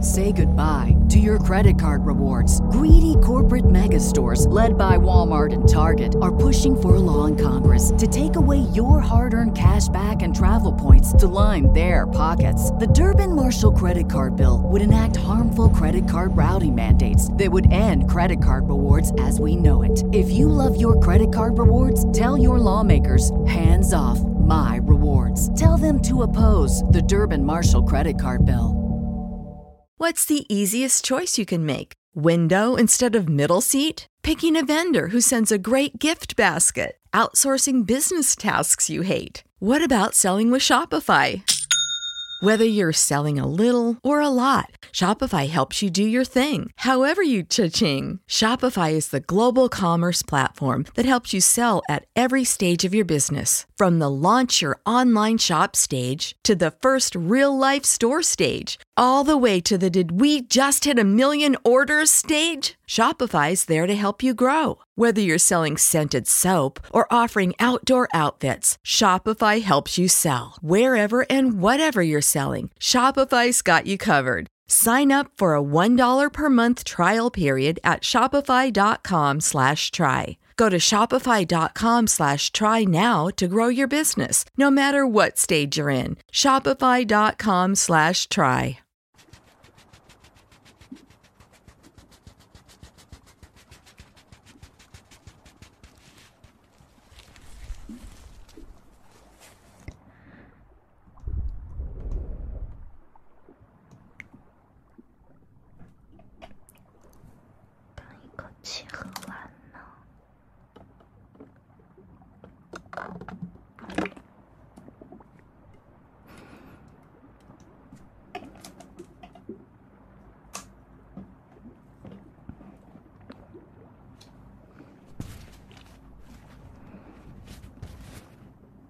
Say goodbye to your credit card rewards. Greedy corporate mega stores, led by Walmart and Target, are pushing for a law in Congress to take away your hard earned cash back and travel points to line their pockets. The Durbin Marshall credit card bill would enact harmful credit card routing mandates that would end credit card rewards as we know it. If you love your credit card rewards, tell your lawmakers hands off my rewards. Tell them to oppose the Durbin Marshall credit card bill. What's the easiest choice you can make? Window instead of middle seat? Picking a vendor who sends a great gift basket? Outsourcing business tasks you hate? What about selling with Shopify? Whether you're selling a little or a lot, Shopify helps you do your thing, however you cha-ching. Shopify is the global commerce platform that helps you sell at every stage of your business, from the launch your online shop stage to the first real life store stage, all the way to the did we just hit a million orders stage? Shopify's there to help you grow. Whether you're selling scented soap or offering outdoor outfits, Shopify helps you sell. Wherever and whatever you're selling, Shopify's got you covered. Sign up for a $1 per month trial period at shopify.com slash try. Go to shopify.com slash try now to grow your business, no matter what stage you're in. Shopify.com slash try. 刚一口气喝完呢。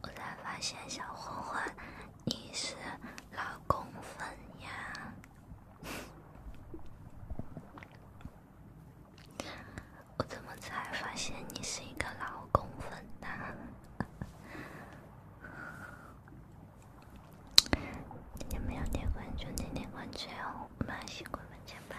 我才发现，小混混，你是老公粉呀？我怎么才发现你是一个老公粉呢？你们要点关注，点点关注哦，满星关满键盘。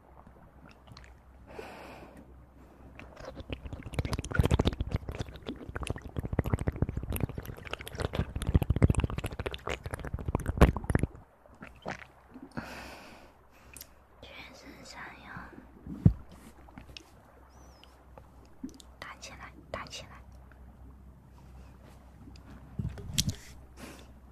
全是山药，打起来，打起来。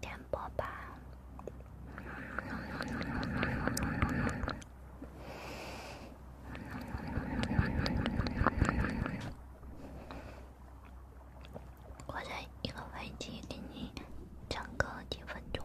点播吧，我在一个环境给你讲个几分钟。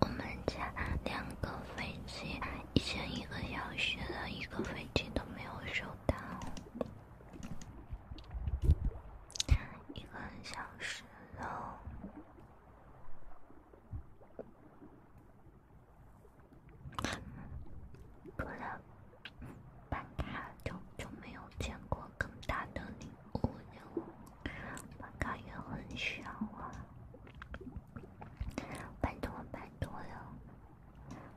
我们家两个飞机，已经一个小时了，一个飞机都没有收到，一个小时了。除了办卡，就就没有见过更大的礼物了。办卡也很小啊，办多办多了。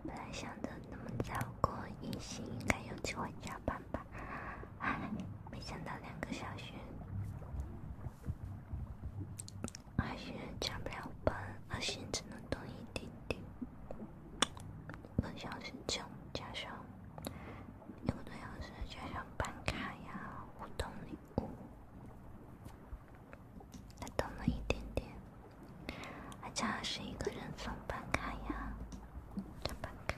本来想着，那么早过一星，应该有机会加班吧。唉，没想到两个小时。阿信加不了班，阿信只能等一点点，一个小时加加休，一个多小时加休办卡呀，互动领，他等了一点点，阿加是一个人送办卡呀，办卡。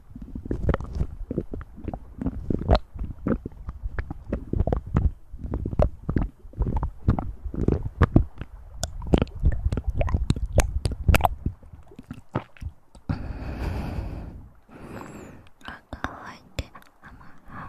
あ乾いてあ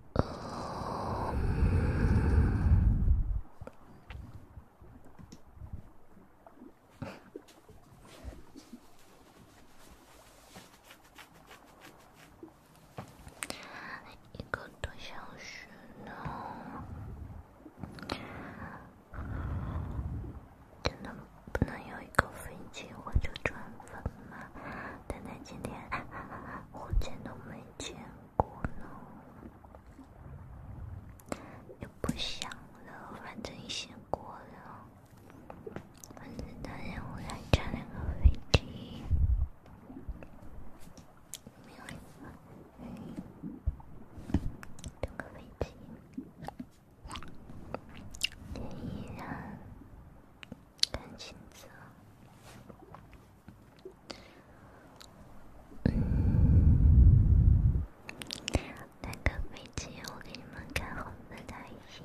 哦，一个多小时呢，真的不能有一个飞机我就转了。妈，丹丹今天我见都没见过呢，也不想了，反正你先过了，反正丹丹我再加两个飞机，没有了，两个飞机，依然。弹琴子，来个飞机，我给你们看红色的爱心。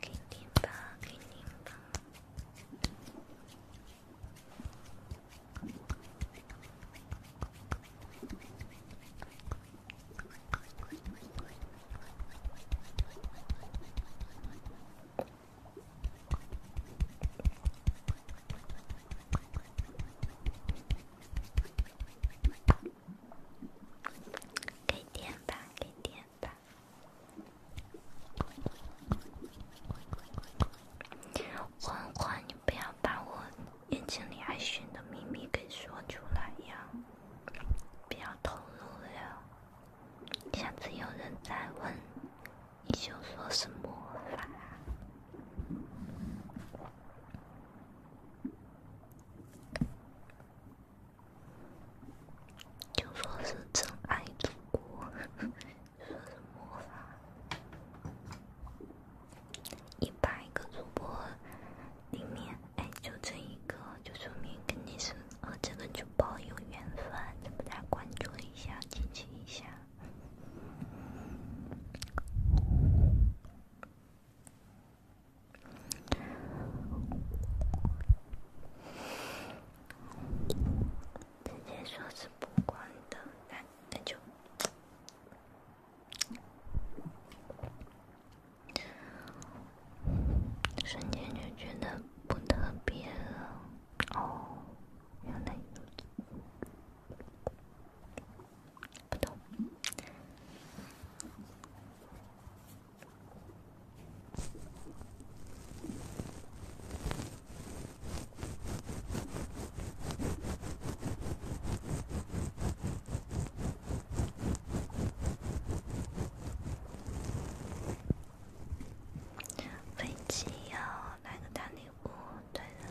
给点吧，给点吧。给点吧，给点。欢欢，你不要把我眼睛里爱寻的秘密给说出来呀！不要透露了，下次有人再问，你就说是魔法。就说是真爱主播，说是魔法，一百个主播里面，哎，就这一个，就说明肯定是和这个主播有缘分，再关注一下，亲亲一下。直接说是不管的，那那就瞬间就觉得不特别了。哦，原来不懂。飞机哟，来个大礼物，对的。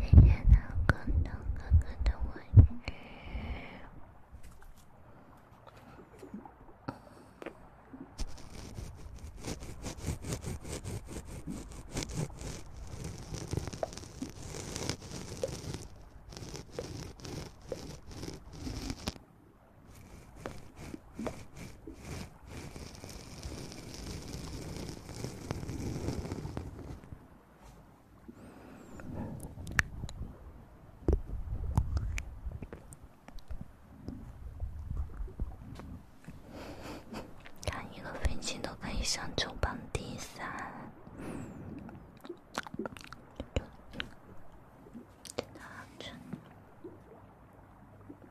谢谢老公的哥哥的玩具。看一个飞机都可以上周榜第三。真的啊，真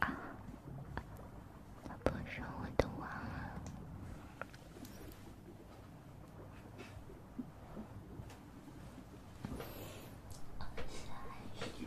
啊！他不是我的娃。我三十。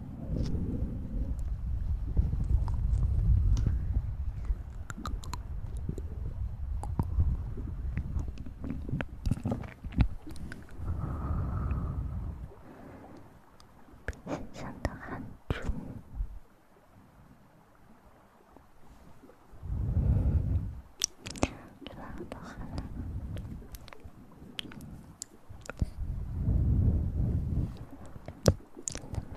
身上的汗珠，拉到来了，真的吗？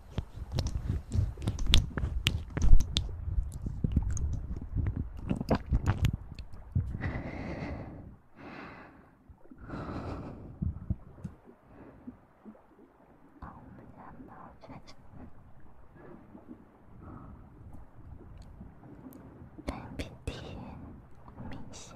哦，感冒吹着，打鼻涕，明显。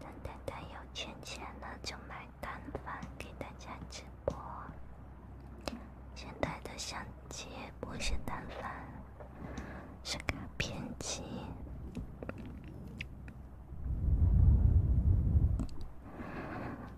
等丹丹有钱钱了就买单反给大家直播。现在的相机不是单反，是卡片机。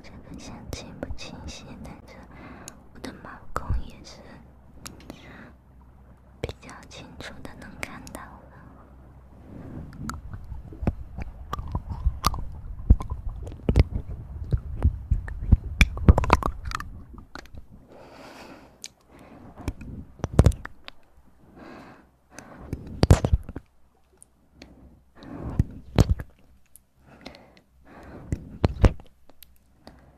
这个相机不清晰，但是我的毛孔也是。比较清楚的能看到了。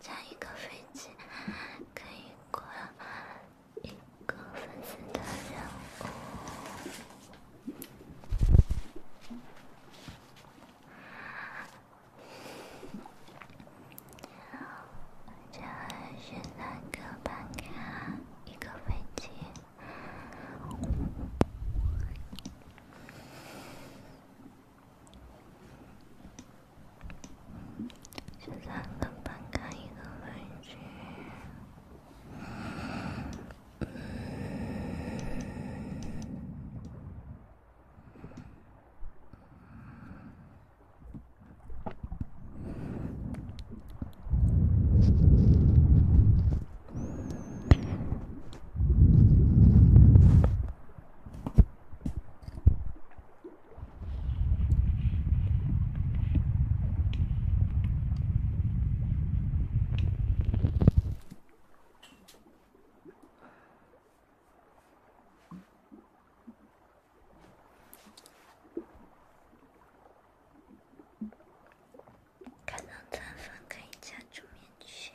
再一个飞机可以过。一个粉色的人物，这还是单个办卡，一个飞机。现在能翻开一个文具。看到赞粉可以加主面群。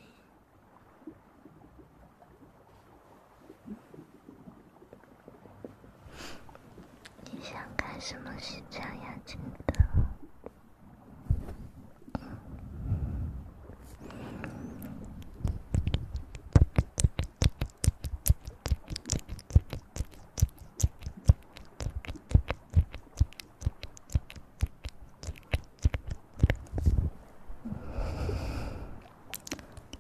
你想干什么？新疆羊真的？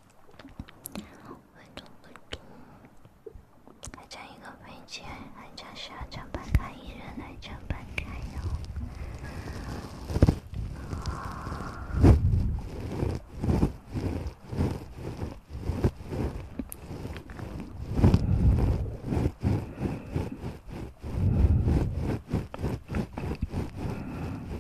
稳重稳重，还将一个配件，还将十二张白卡，一人还将白卡哟。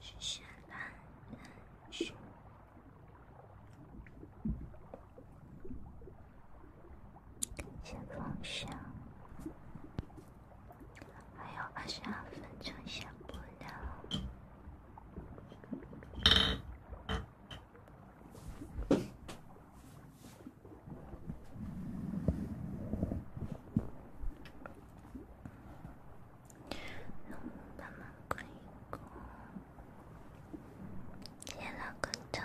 谢谢啦，谢谢分享。还有二十二分钟下播的，慢慢可以，点了个赞，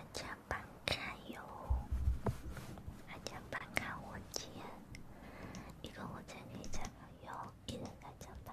阿江爸看哟，阿江爸看我姐，你跟我姐那咋样？你能阿江爸？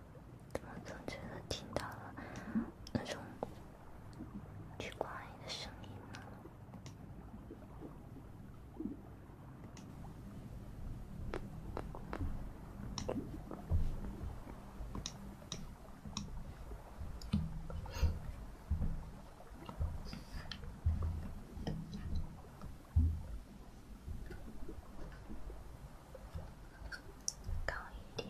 怎么总觉得听到了那种激光仪的声音呢？高一点。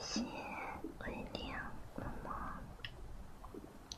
谢谢，晚安，梦梦。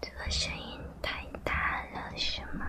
这声音太大了，是吗？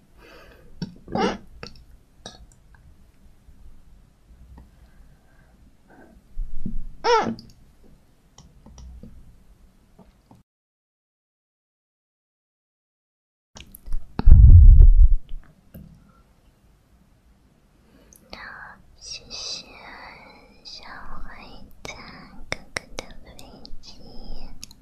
嗯。嗯。那谢谢小灰太哥哥的飞机。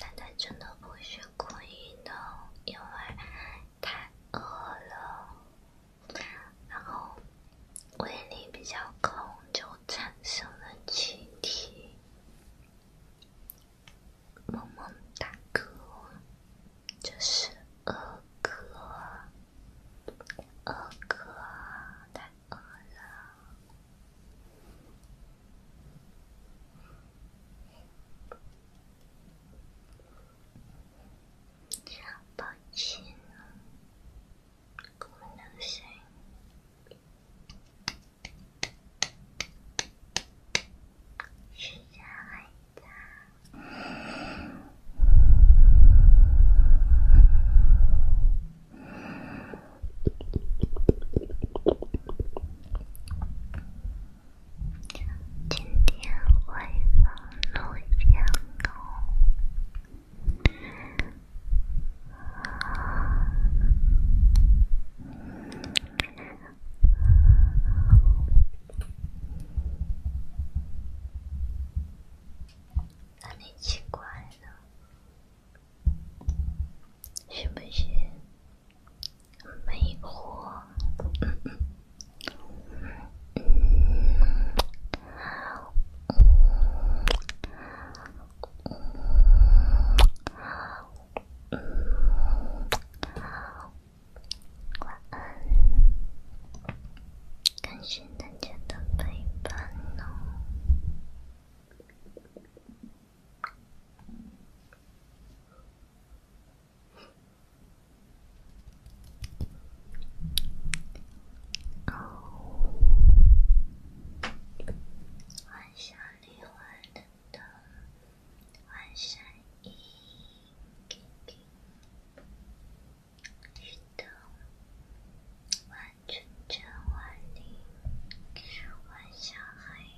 但他真的不是故意的，因为太饿了，然后胃里比较空，就产生了气体。萌萌哒哥，这是二哥，二哥太饿了。抱歉，功能声时间还长。今天回房录像了，哪奇怪了？是不是很迷惑？好，晚安，感谢大家的陪伴哦。晚霞，黄昏的，晚霞，一，一的，万重山，万里，晚霞，黑。